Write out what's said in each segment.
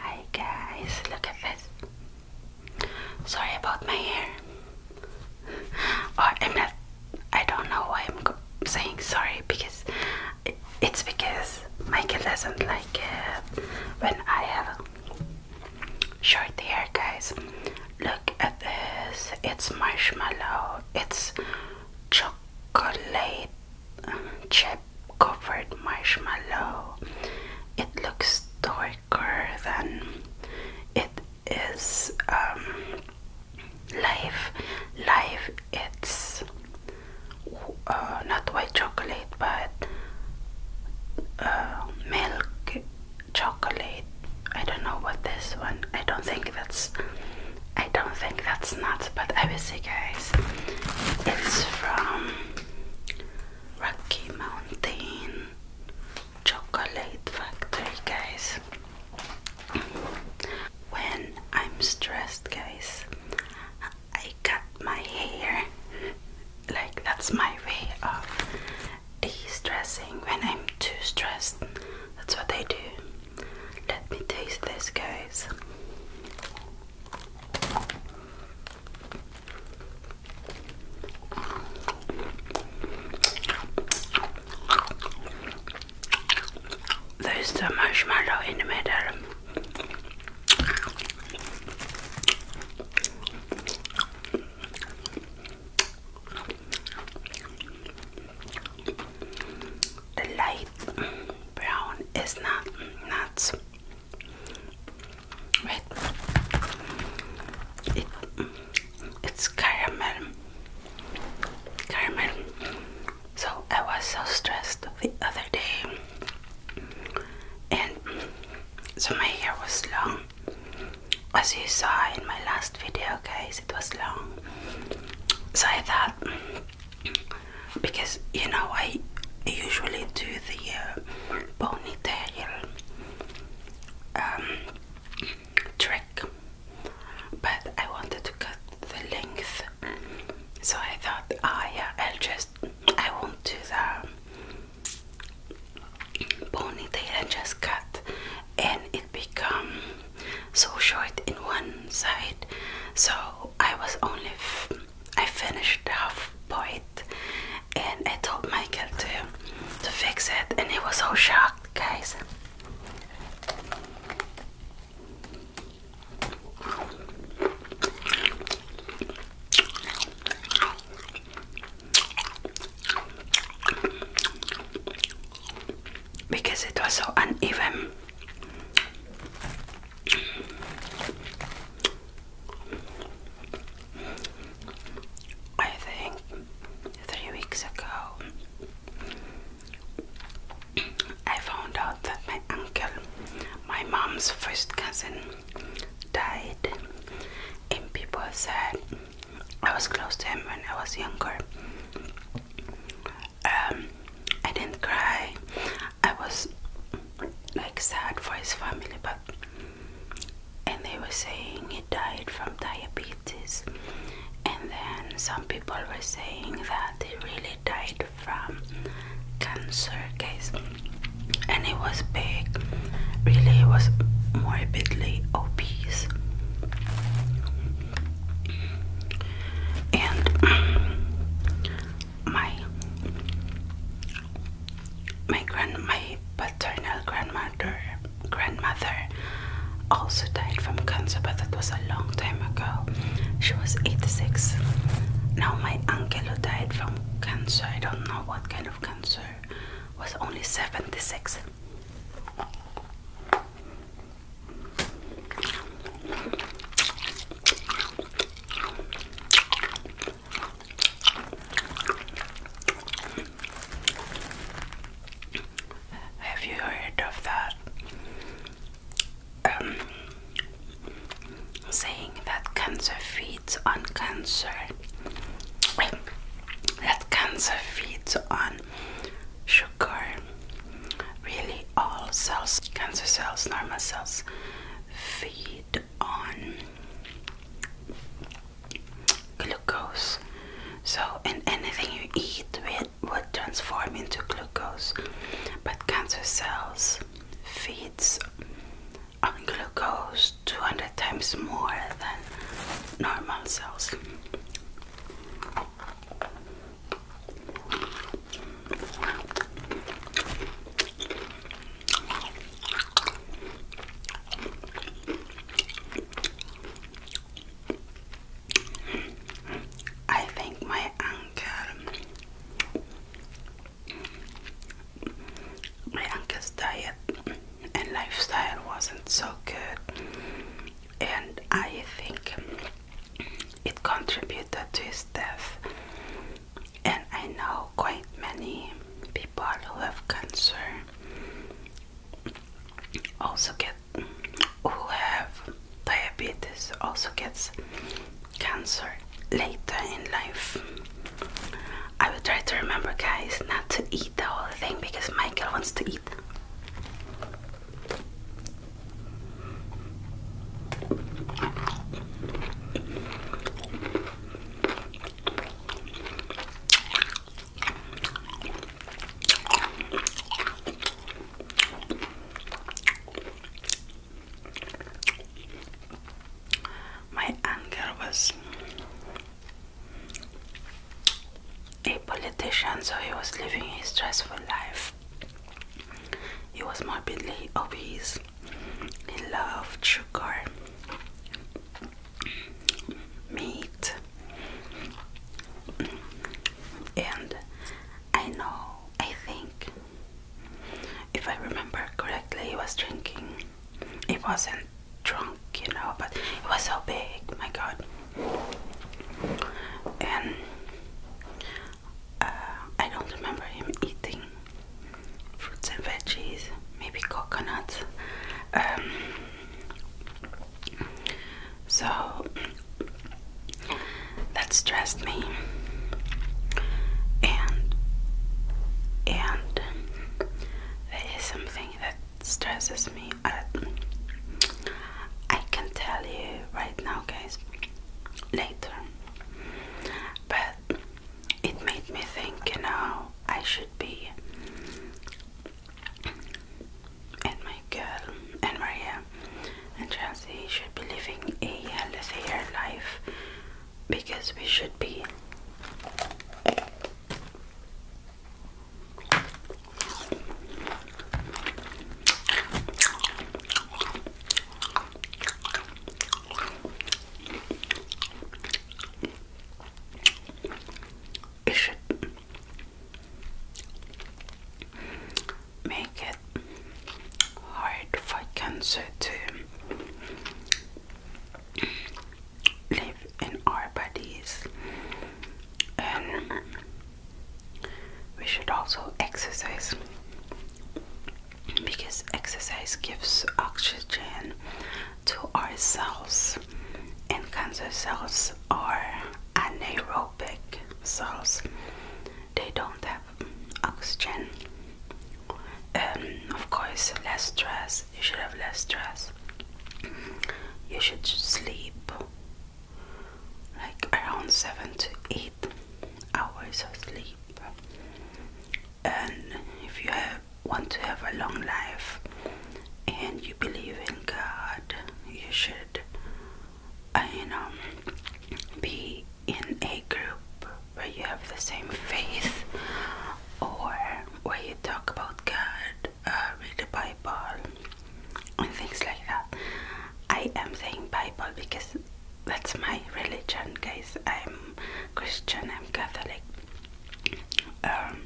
Hi guys, look at this. Sorry about my hair. Or I'm not. I don't know why I'm saying sorry because it's because Michael doesn't like it when I have short hair, guys. Look at this. It's marshmallow. It's chocolate chip covered marshmallow. It looks darker than it is um, live. Live, it's uh, not white chocolate but uh, milk chocolate. I don't know what this one. I don't think that's. I don't think that's nuts, but I will see, guys. It's from Rocky Mountain Chocolate Factory, guys. When I'm stressed, guys, I cut my hair. Like, that's my way of de stressing when I'm too stressed. That's what I do. Let me taste this, guys. There's the marshmallow in the middle. The light brown is not nuts. Wait. it's caramel. Caramel. So I was so stressed the other day. And so my hair was long. As you saw in my last video, guys, it was long. So I thought because you know I usually do the uh, ponytail um, trick, but I wanted to cut the length, so I thought, ah, yeah, I'll just I won't do the ponytail and just cut, and it become so short in one side, so I was only. I finished half point and I told Michael to to fix it and he was so shocked guys because it was so uneven I think three weeks ago I found out that my uncle, my mom's first cousin, died, and people said I was close to him when I was younger. Um, I didn't cry. I was like sad for his family, but and they were saying he died from diabetes, and then some people were saying that he really died from cancer, guys. And it was big, really, it was morbidly obese and my my grand my paternal grandmother grandmother also died from cancer but that was a long time ago she was 86 now my uncle who died from cancer i don't know what kind of cancer was only 76 have you heard of that um, saying that cancer feeds on cancer? That cancer feeds on sugar, really all cells, cancer cells, normal cells, feed on glucose. So, and anything you eat with would transform into glucose, but cancer cells feeds on glucose 200 times more than normal cells. I think my uncle my uncle's diet and lifestyle wasn't so good and I think it contributed to his death, and I know quite many people who have cancer also get who have diabetes also gets cancer later in life. I will try to remember guys not to eat the whole thing because Michael wants to eat. My anger was a politician, so he was living a stressful life. He was morbidly obese. He loved sugar, meat, and I know, I think, if I remember correctly, he was drinking. He wasn't drunk, you know, but it was so big, my god and uh, I don't remember him eating fruits and veggies, maybe coconuts. Um, so that stressed me, and and there is something that stresses me. I, can tell you right now, guys, later. But it made me think, you know, I should be. And my girl, and Maria, and Chelsea should be living a healthier life because we should be it should make it hard for cancer to live in our bodies. And we should also exercise because exercise gives oxygen to our cells, and cancer cells are anaerobic cells, they don't have oxygen. Um, of course, less stress. You should have less stress. You should sleep like around seven to eight hours of sleep. And if you want to have a long life and you believe in God, you should, uh, you know, be in a group where you have the same faith or where you talk about God uh, read the Bible and things like that. I am saying Bible because that's my religion, guys. I'm Christian, I'm Catholic. Um,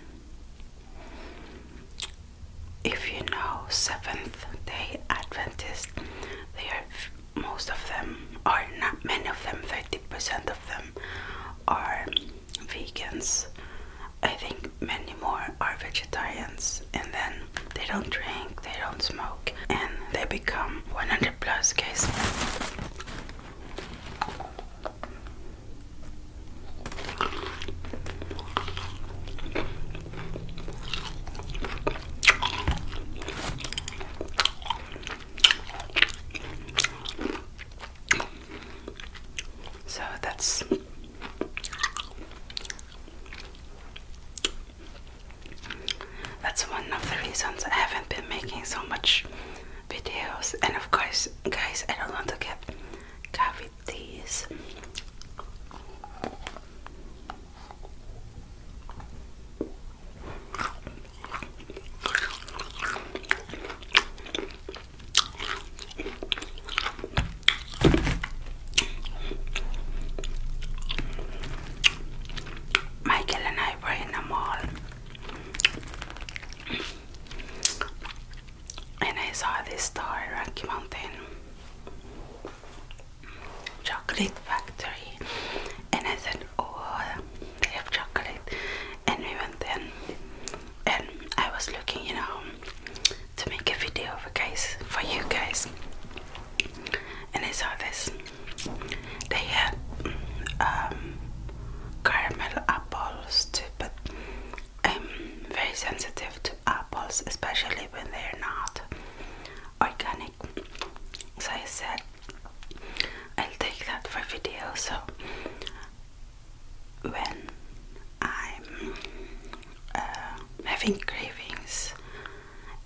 if you know Seventh Day Adventists, they are most of them, or not many of them, thirty percent of them are vegans. I think many more are vegetarians, and then they don't drink, they don't smoke, and they become 100 plus guys. So that's that's one of the reasons I haven't been making so much videos. And of course, guys, I don't want to get cavities. Michael and I were in a mall and I saw this store, Rocky Mountain Chocolate Factory, and I said, Oh, they have chocolate. And we went in and I was looking, you know, to make a video for guys for you guys, and I saw this. They had um, caramel apples too, but I'm very sensitive to apples, especially when they're not organic. So I said I'll take that for video. So when I'm uh, having cravings,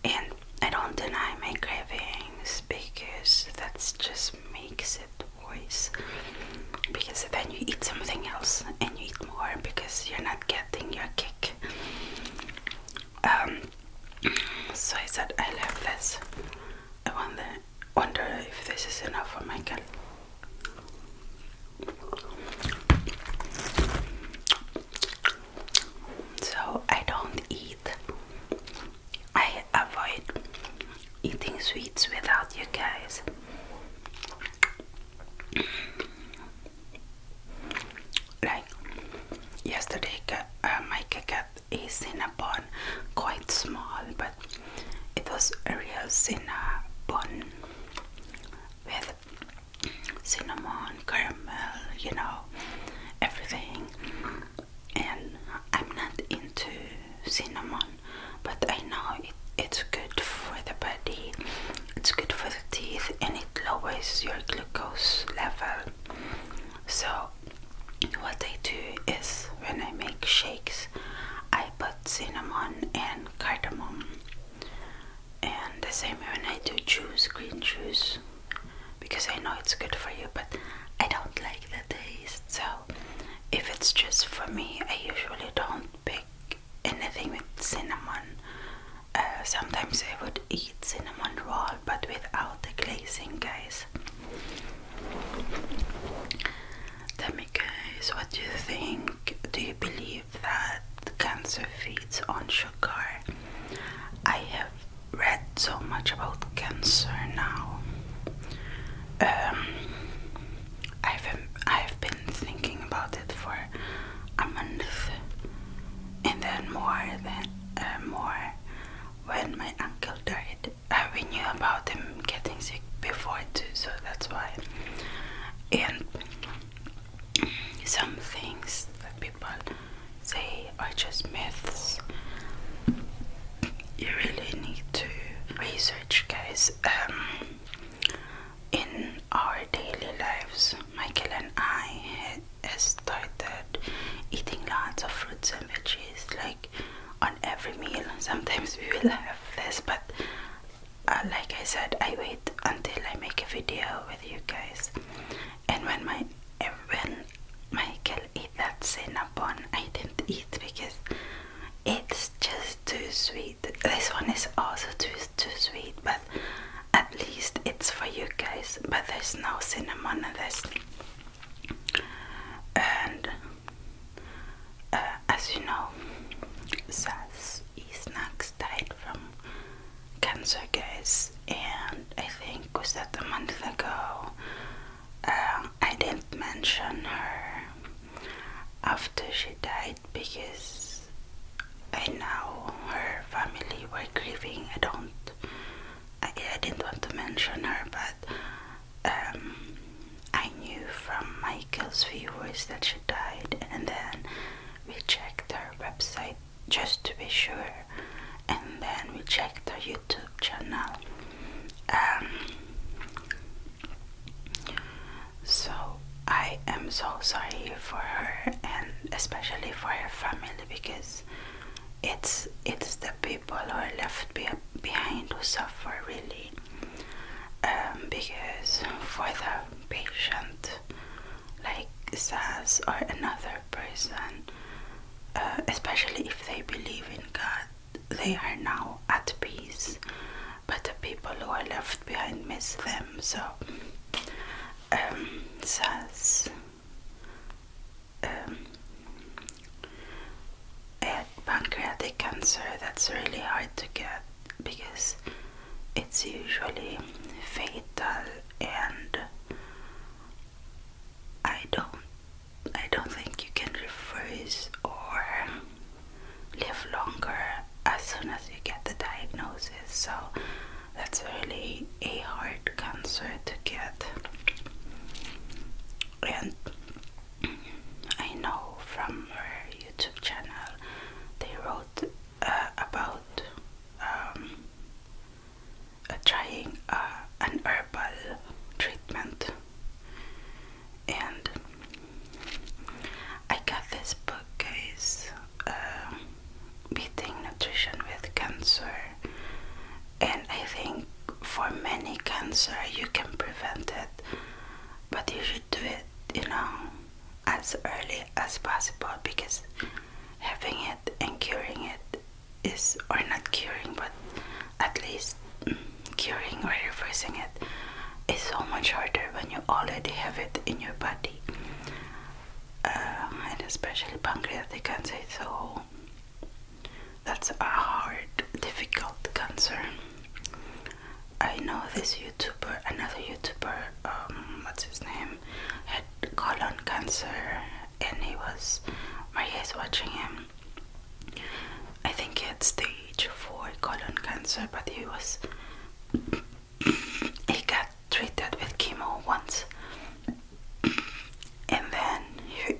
and I don't deny my cravings because that just makes it worse. Because then you eat something else and you eat more because you're not getting your kick. Um, so I said, I love this. I wonder, wonder if this is enough for Michael. So I don't eat. I avoid eating sweets without you guys. Like yesterday, my cat is in a pond, quite small, but it was a real cinnamon bun with cinnamon, caramel, you know, everything. And I'm not into cinnamon, but I know it's good for the body, it's good for the teeth, and it lowers your glucose level. So what I do is when I make shakes, I put cinnamon and cardamom, and the same when I do juice, green juice, because I know it's good for you, but I don't like the taste. So, if it's just for me, I usually don't pick anything with cinnamon. Uh, sometimes I would eat cinnamon roll, but without the glazing, guys. Demikos, what do you think? Do you believe that cancer feeds on sugar? I have read so much about cancer now. Um, I've I've been thinking about it for a month, and then more than uh, more when my uncle died uh, we knew about them getting sick before too, so that's why. And some things that people say are just myths. You really need to research, guys. Um, in our daily lives, Michael and I had, started eating lots of fruits and veggies, like on every meal. Sometimes we will have this, but uh, like I said, I wait until I make a video with you guys. And when my when Michael eat that cinnamon, I didn't eat because it's just too sweet. This one is also too too sweet, but at least it's for you guys. But there's no cinnamon in this and uh, as you know, SAS snacks died from cancer, guys. And I think was that a month ago. Um, I didn't mention her after she died because I know her family were grieving. I don't. I, I didn't want to mention her, but um, I knew from Michael's viewers that she died, and then we checked her website just to be sure, and then we checked her YouTube channel. Um, so I am so sorry for her, and especially for her family, because it's it's the people who are left be behind who suffer really um, because for the patient like Saz or another person uh, especially if they believe in God they are now at peace but the people who are left behind miss them so um, Saz um, eh, pancreatic cancer that's really hard to get because it's usually fatal and I don't I don't think you can reverse or live longer as soon as you get the diagnosis so that's really a hard cancer to get. And I know from her YouTube channel they wrote uh, about um, trying uh, an herbal treatment, and I got this book, guys. Uh, Beating Nutrition with Cancer, and I think for many cancer you can prevent it, but you should do it, you know, as early as possible because having it and curing it is, or not curing, but at least mm, curing or reversing it is so much harder when you already have it in your body, uh, and especially pancreatic cancer. So that's a hard, difficult cancer. I know this YouTuber, another YouTuber, um, what's his name, had colon cancer and he was, My is watching him. I think he had stage 4 colon cancer, but he was, he got treated with chemo once and then he,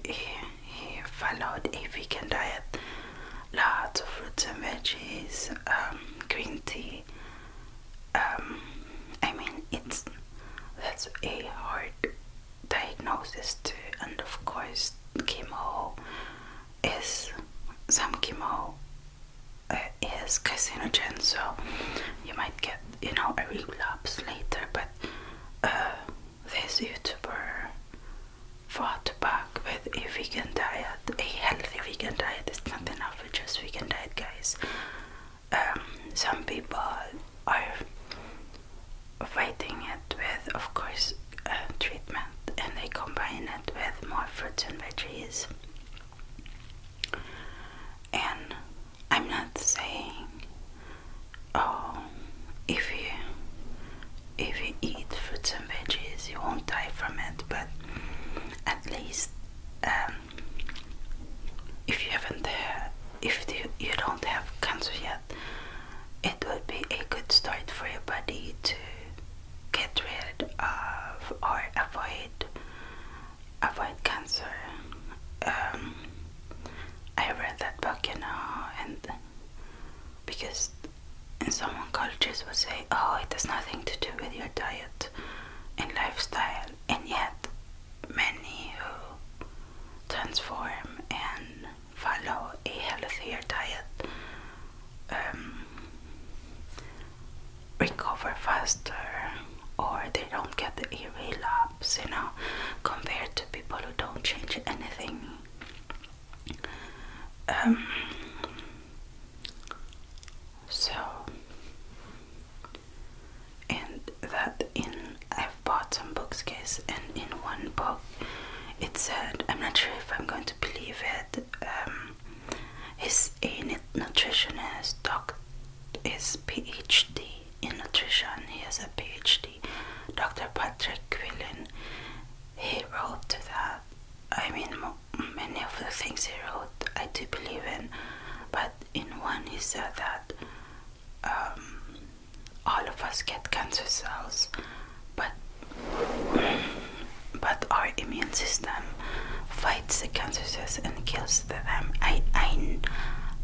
he, followed a vegan diet lots of fruits and veggies um, green tea um, I mean it's that's a hard diagnosis too and of course chemo is some chemo uh, is carcinogen so you might get you know a relapse later but uh, this youtuber fought back with a vegan diet a healthy vegan diet it's not enough with just vegan diet guys um, some people are fighting it with of course uh, treatment and they combine it with more fruits and veggies and I'm not saying, oh, if you if you eat fruits and veggies, you won't die from it. But at least, um, if you haven't, uh, if the, you don't have cancer yet, it would be a good start for your body to get rid of or avoid avoid cancer. Um, I read that book, you know, and because in some cultures would say, "Oh, it has nothing to do with your diet and lifestyle," and yet many who transform and follow a healthier diet um, recover faster or they don't get the relapse, you know, compared to people who don't change anything. Um, so, and that in I've bought some books, guys, and in one book it said, I'm not sure if I'm going to believe it. Um, a nutritionist, doc, is PhD in nutrition. He has a PhD. Dr. Patrick Quillen. He wrote that. I mean, many of the things he wrote, I do believe in. But in one, he said that um, all of us get cancer cells, but but our immune system fights the cancer cells and kills them. I, I,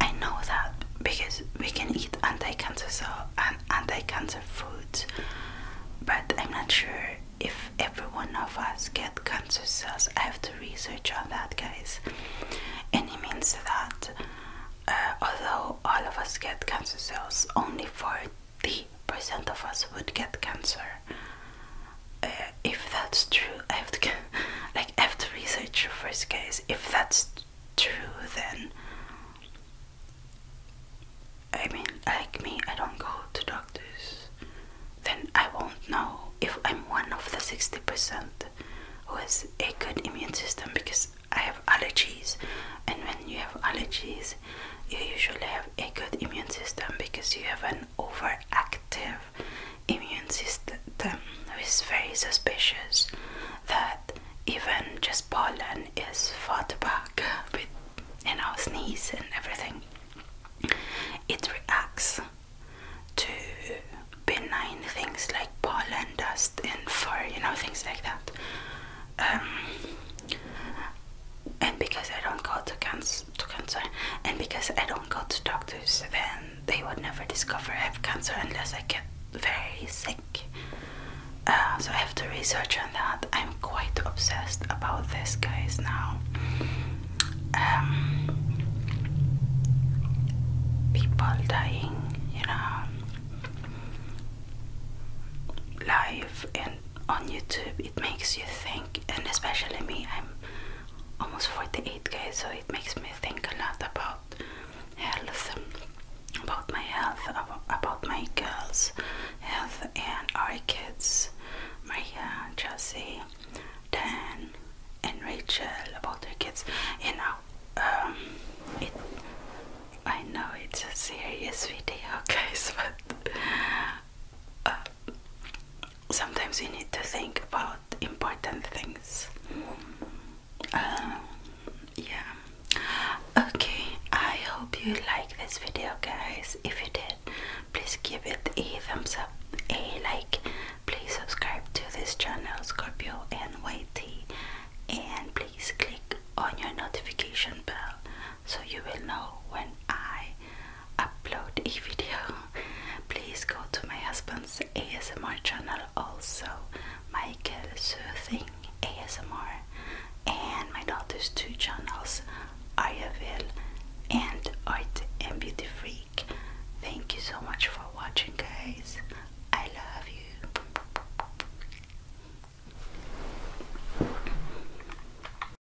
I know that because we can eat anti-cancer so and anti-cancer foods, but I'm not sure if every one of us get cancer cells. I have to research on that, guys. And it means that uh, although all of us get cancer cells, only 40% of us would get cancer. Uh, if that's true, I have to get, like have to research first case. If that's true, then I mean, like me, I don't go to doctors. Then I won't know if I'm one of the sixty percent who has a good immune system because I have allergies, and when you have allergies, you usually have a good immune system because you have an overactive immune system is very suspicious that even just pollen is fought back with you know sneeze and everything. It reacts to benign things like pollen dust and fur, you know, things like that. Um, and because I don't go to cancer to cancer and because I don't go to doctors then they would never discover I have cancer unless I get very sick uh, so I have to research on that I'm quite obsessed about this guys now um, people dying you know live and on YouTube it makes you think and especially me I'm almost 48 guys so it makes me think a lot about health about my health about my girls health and our kids Maria, Chelsea, Dan and Rachel about their kids you know um, it, I know it's a serious video guys but uh, sometimes we need to think about important things. Um, yeah. Okay, I hope you like this video, guys. If you did, please give it a thumbs up, a like. Please subscribe to this channel, Scorpio NYT, and please click on your notification bell so you will know when I upload a video. Please go to my husband's ASMR channel also, Michael Soothing ASMR, and my daughter's two channels, Ayavil and Art and Beauty Freak. Thank you so much for watching guys. I love you.